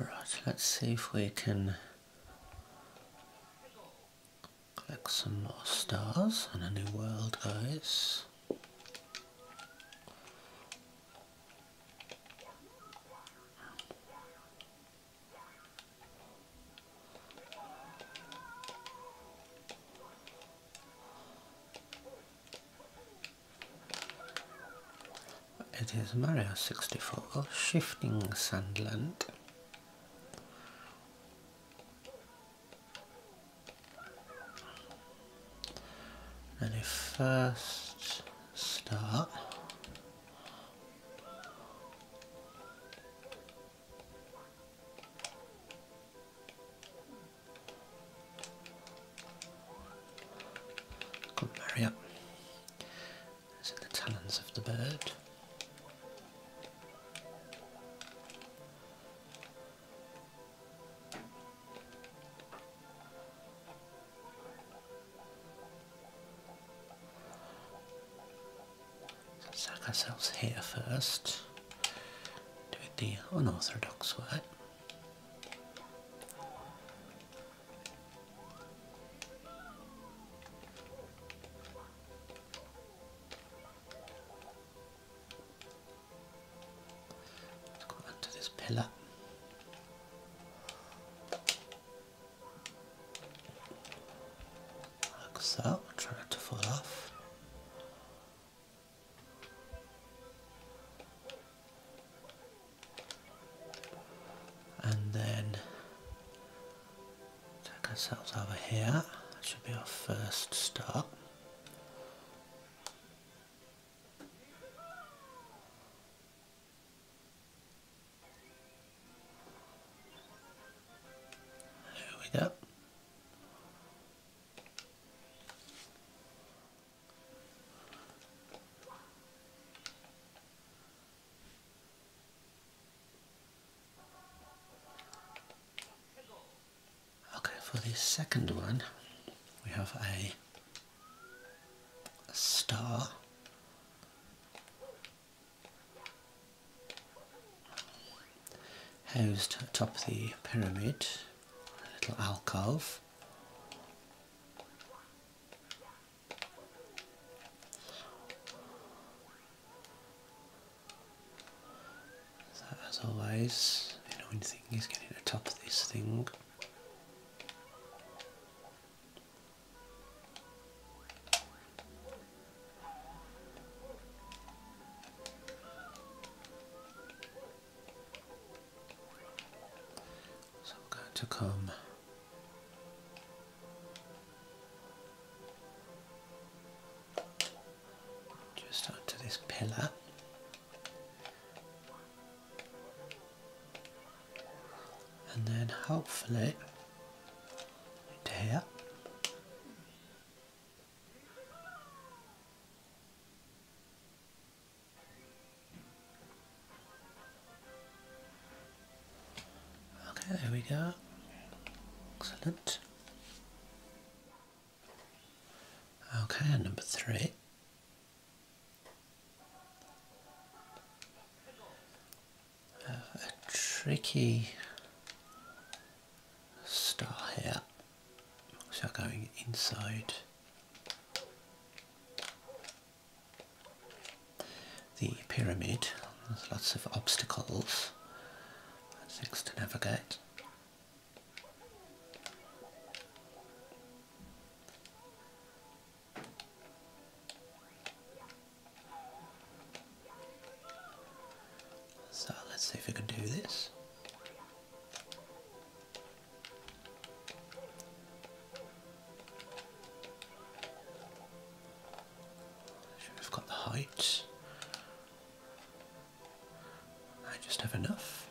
Alright, let's see if we can collect some more stars in a new world guys. It is Mario 64 Shifting Sandland. And if first start Good Maria. is in the talons of the bird. So sack ourselves here first do it the unorthodox way. Let's go onto this pillar. Like so, I'll try to fall off and then take ourselves over here that should be our first stop there we go Okay, for the second one, we have a, star. Housed atop the pyramid little alcove. So as always, the annoying thing is getting of this thing. So I'm going to come just onto this pillar. And then hopefully into here. Okay, there we go. Excellent. Okay, number three. Uh, a tricky star here. So going inside the pyramid, there's lots of obstacles and things to navigate. So let's see if we can do this. We've got the height. I just have enough.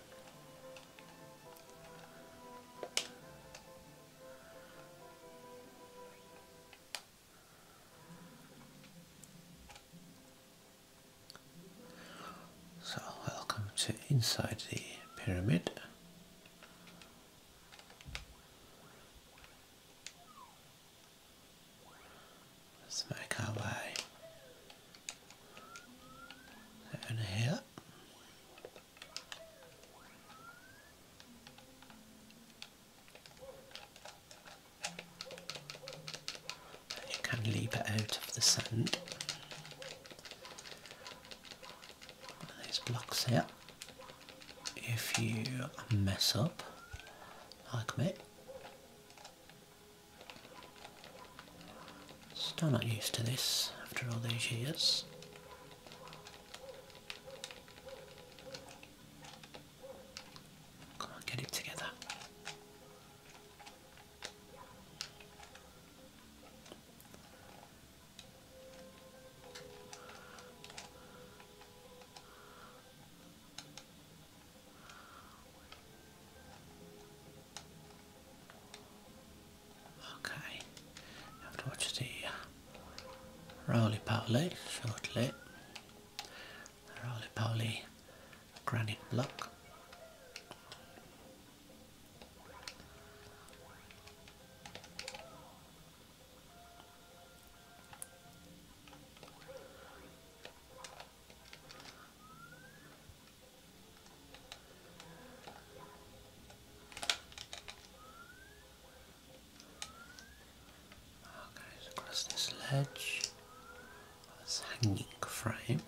So welcome to inside the pyramid. Let's make our way down here. You can leap it out of the sand. One blocks here. If you mess up, I commit. still not used to this after all these years. Come on, get it together. Okay, have to watch the roly poly shortly roly poly granite block i across this ledge, this hanging frame.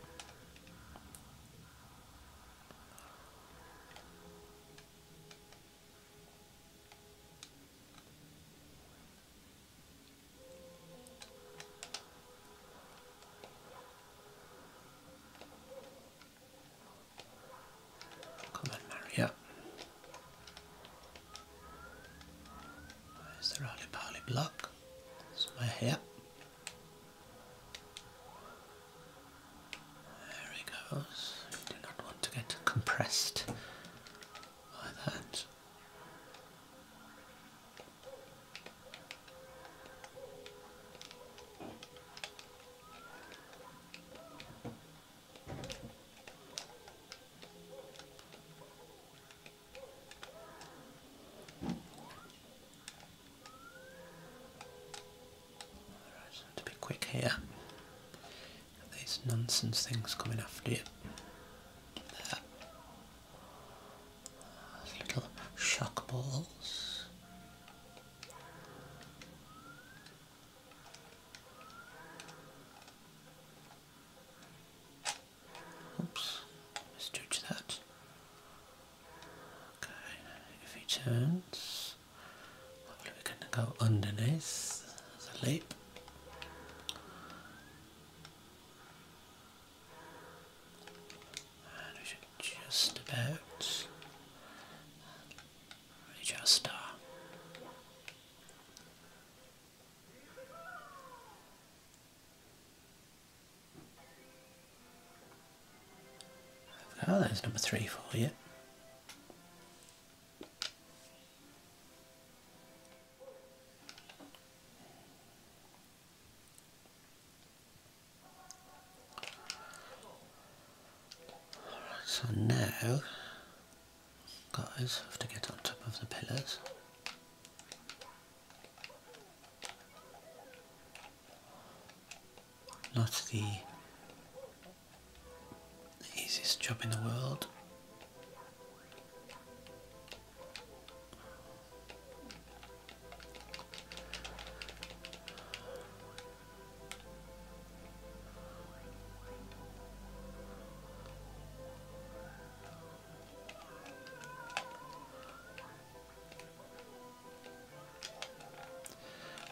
Come on, Maria. There's the roly poly block. It's my hip. There it goes. do not want to get compressed by that to be quick here. These nonsense things coming after you. little shock balls. Oops, let that. Okay, if he turns, we're going to go underneath the lip. And we should just about reach Oh, there's number three for you. So now guys have to get on top of the pillars. Not the easiest job in the world.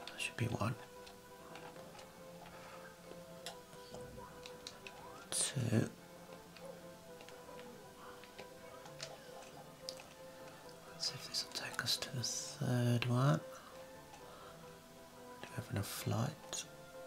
There should be one. 2 see if this will take us to the third one. Do we have enough flight?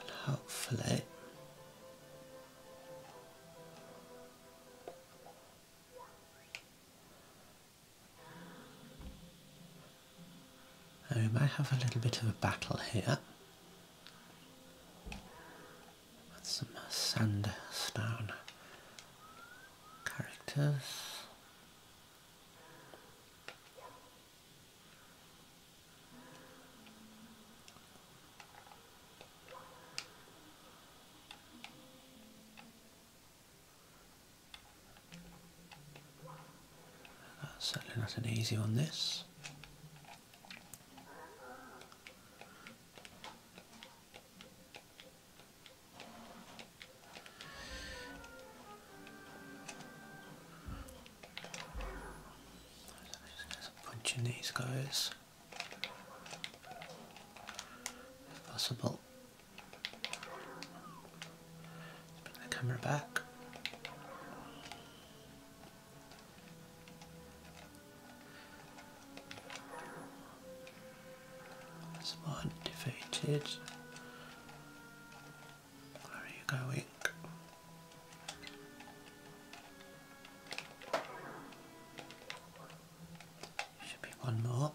and hopefully we may have a little bit of a battle here with some sandstone characters that's certainly not an easy one this punching these guys possible. let the camera back. That's one defeated. Where are you going? Should be one more.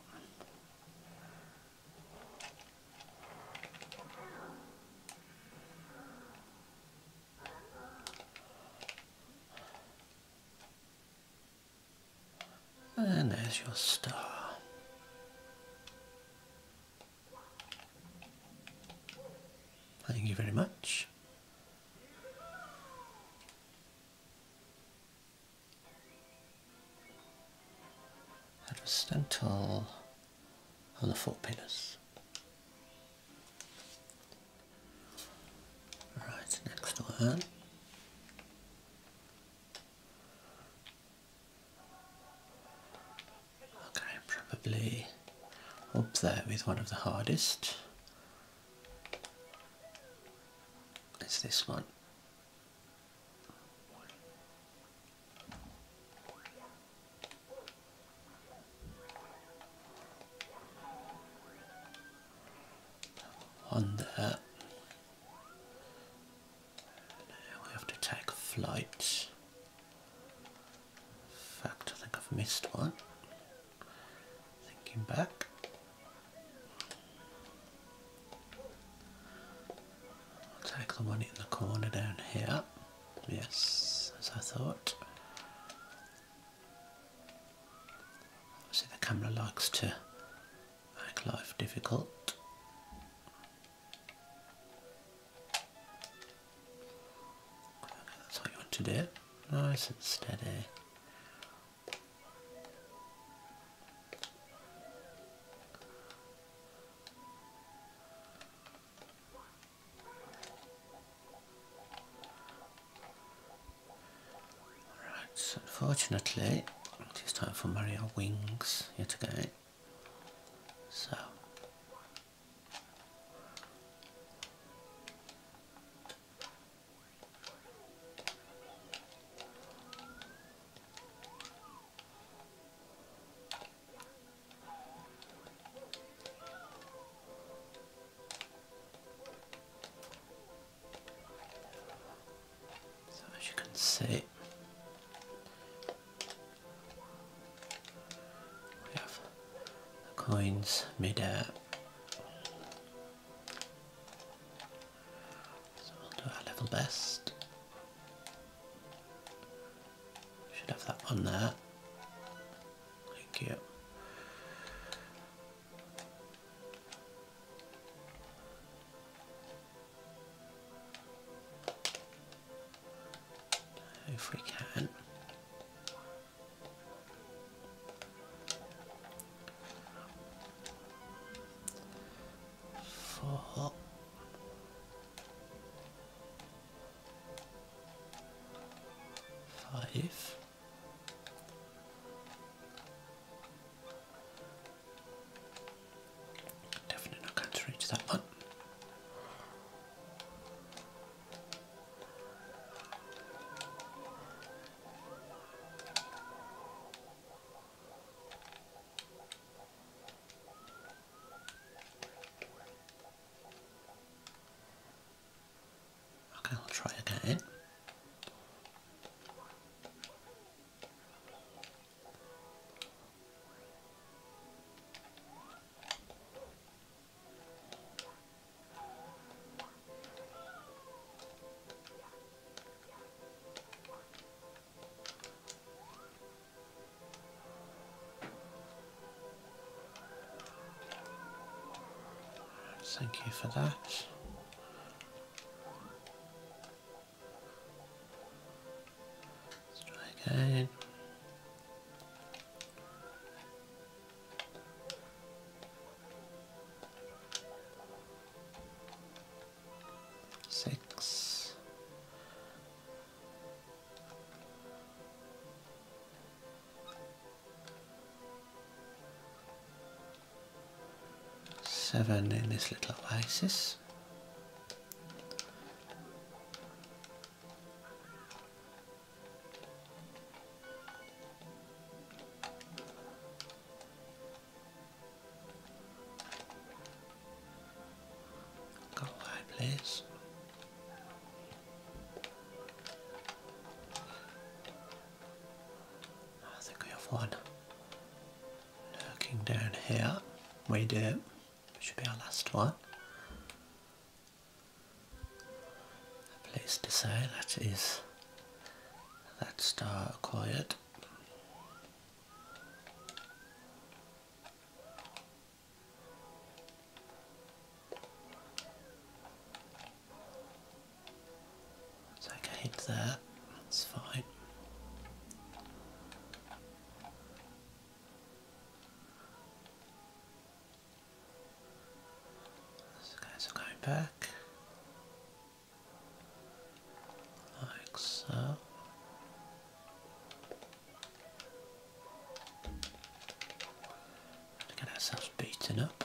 And there's your star. Thank you very much. Aristotle on the four pillars. Right, next one. Okay, probably up there with one of the hardest. It's this one. On there. Now I have to take flight. fact, I think I've missed one. Thinking back. I'll take the one in the corner down here. Yes, as I thought. Obviously the camera likes to make life difficult that's what you want to do. Nice and steady. Right, so unfortunately, it is time for Mario Wings yet again. So so as you can see we have the coins midair. So we'll do our level best. Should have that one there. Thank you if we can. Four. Five. Definitely not going to reach that one. Okay, I'll try again. Thank you for that. Let's try again. Six. Seven in this little oasis. Go away, please. I think we have one looking down here, we do, should be our last one. I'm to say that is that star acquired. Take a there, that's fine. These going back. Like so. To get ourselves beaten up.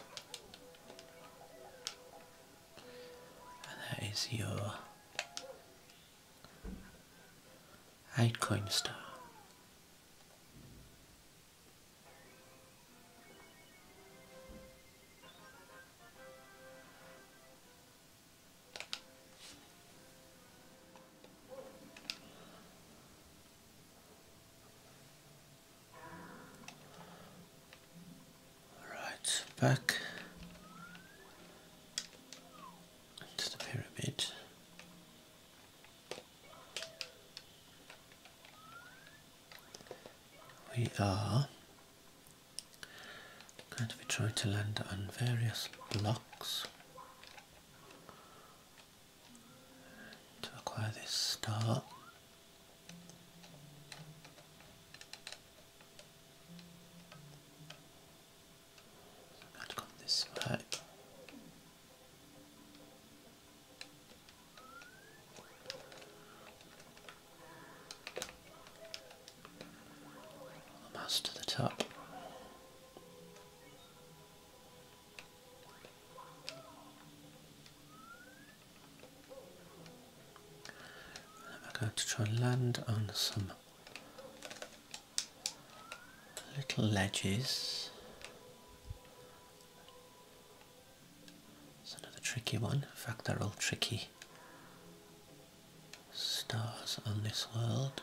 And that is your Altcoin Star. Alright, back into the pyramid. We are going to be trying to land on various blocks to acquire this star. I've got this back. to the top. I'm going to try and land on some little ledges. It's another tricky one. In fact, they're all tricky stars on this world.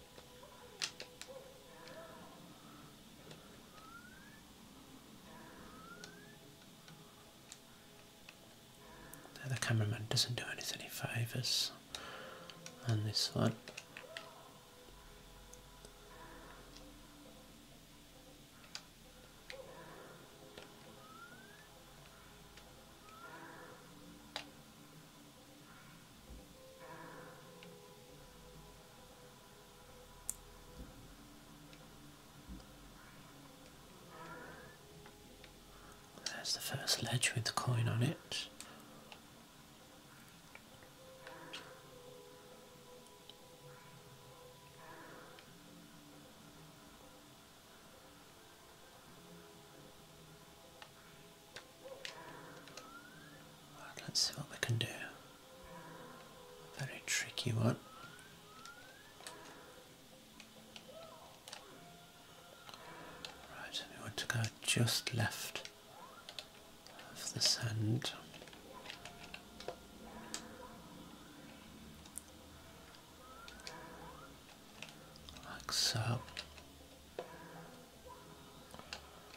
The cameraman doesn't do anything any favours on this one. There's the first ledge with the coin on it let's see what we can do. Very tricky one. Right, we want to go just left of the sand. Like so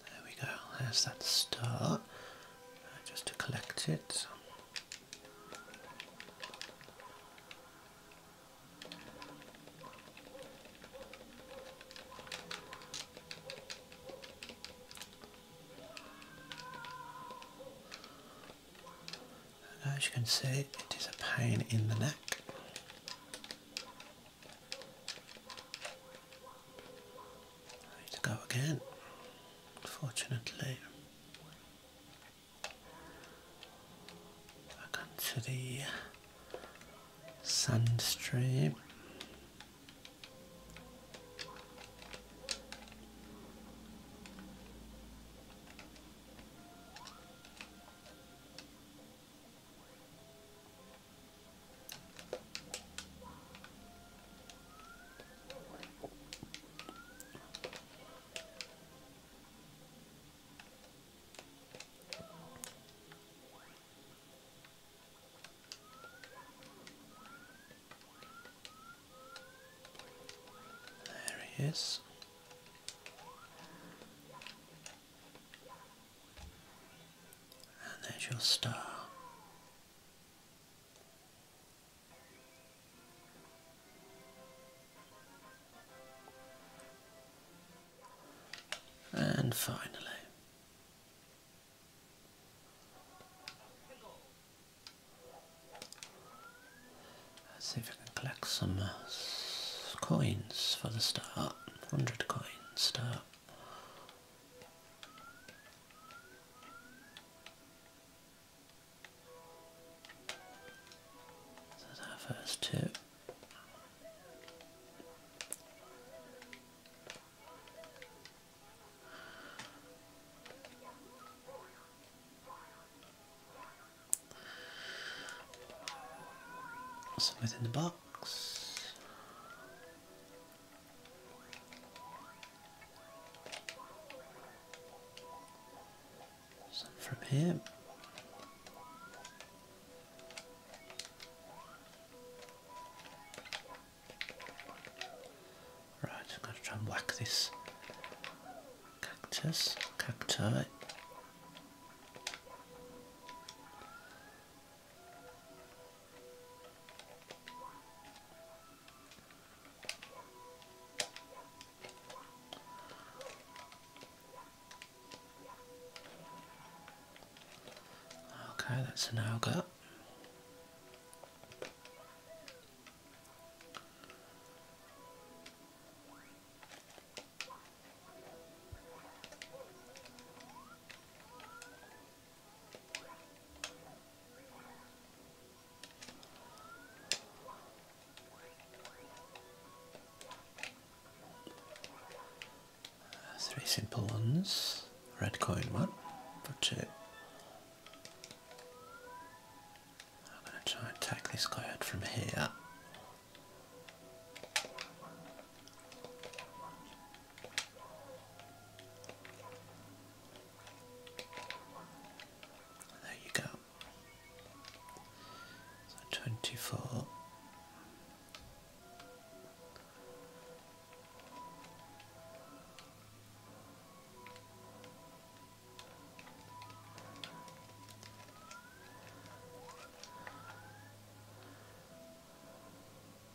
There we go, there's that star. Uh, just to collect it. as you can see, it is a pain in the neck. I need to go again, unfortunately. Back onto the sand stream. There he is. And there's your star. And finally, let's see if I can collect some uh, coins for the start. 100 coins start. So that's our first two. Something in the box. Some from him. Right, I'm going to try and whack this cactus, cacti. Okay, that's an alga. Three simple ones. Red coin one for two. I'm going to try and take this guy out from here. There you go. twenty four.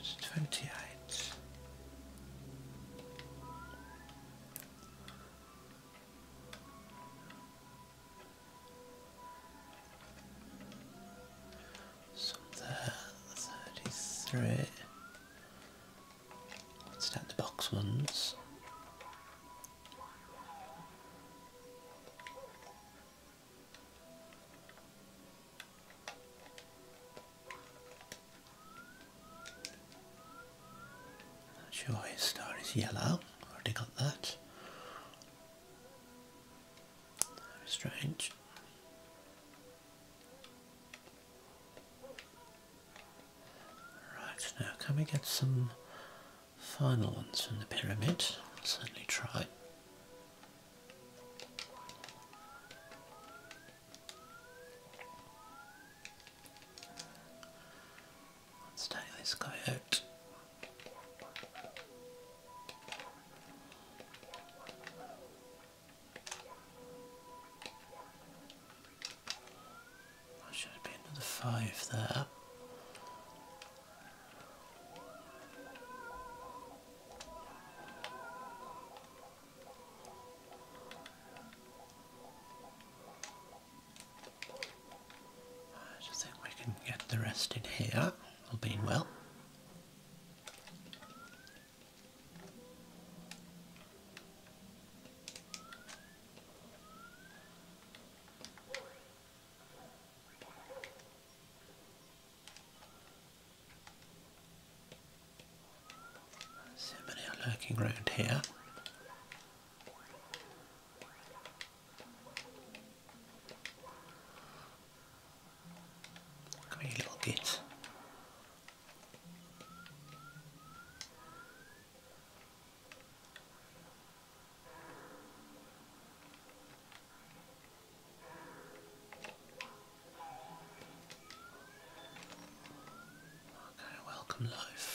It's twenty eight. So there, 33. Let's down the box once. sure his star is yellow. Already got that. strange. Right, now can we get some final ones from the pyramid? certainly try. Let's take this guy out. That should have been another five there. I just think we can get the rest in here, all being well. So many are lurking around here. Come here, little bit. Okay, welcome life.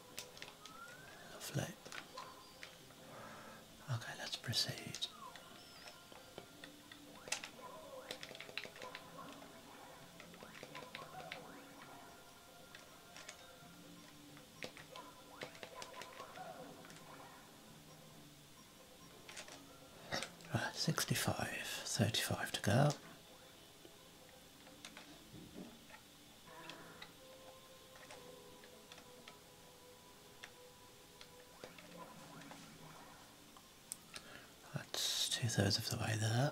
Okay, let's proceed. Right, 65, 35 to go. That's two thirds of the way there.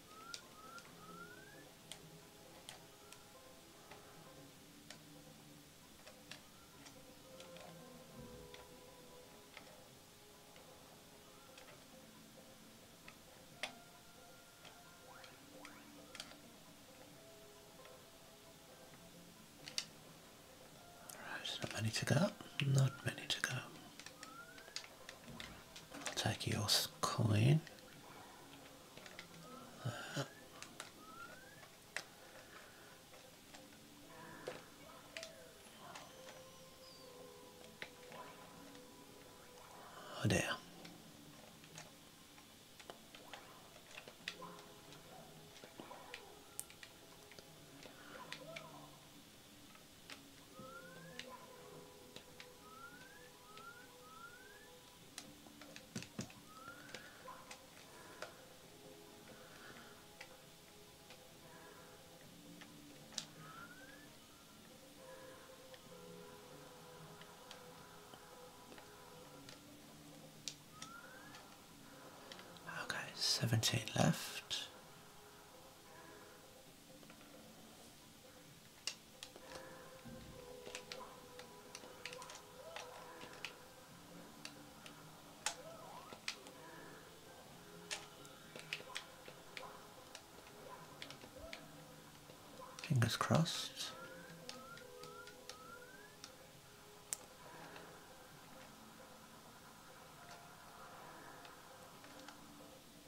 Right, not many to go. Not many to go. Take your coin. Oh dear. Okay, seventeen left. Fingers crossed.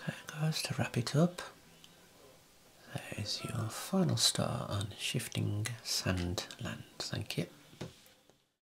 Okay goes to wrap it up, there is your final star on Shifting Sandland. Thank you.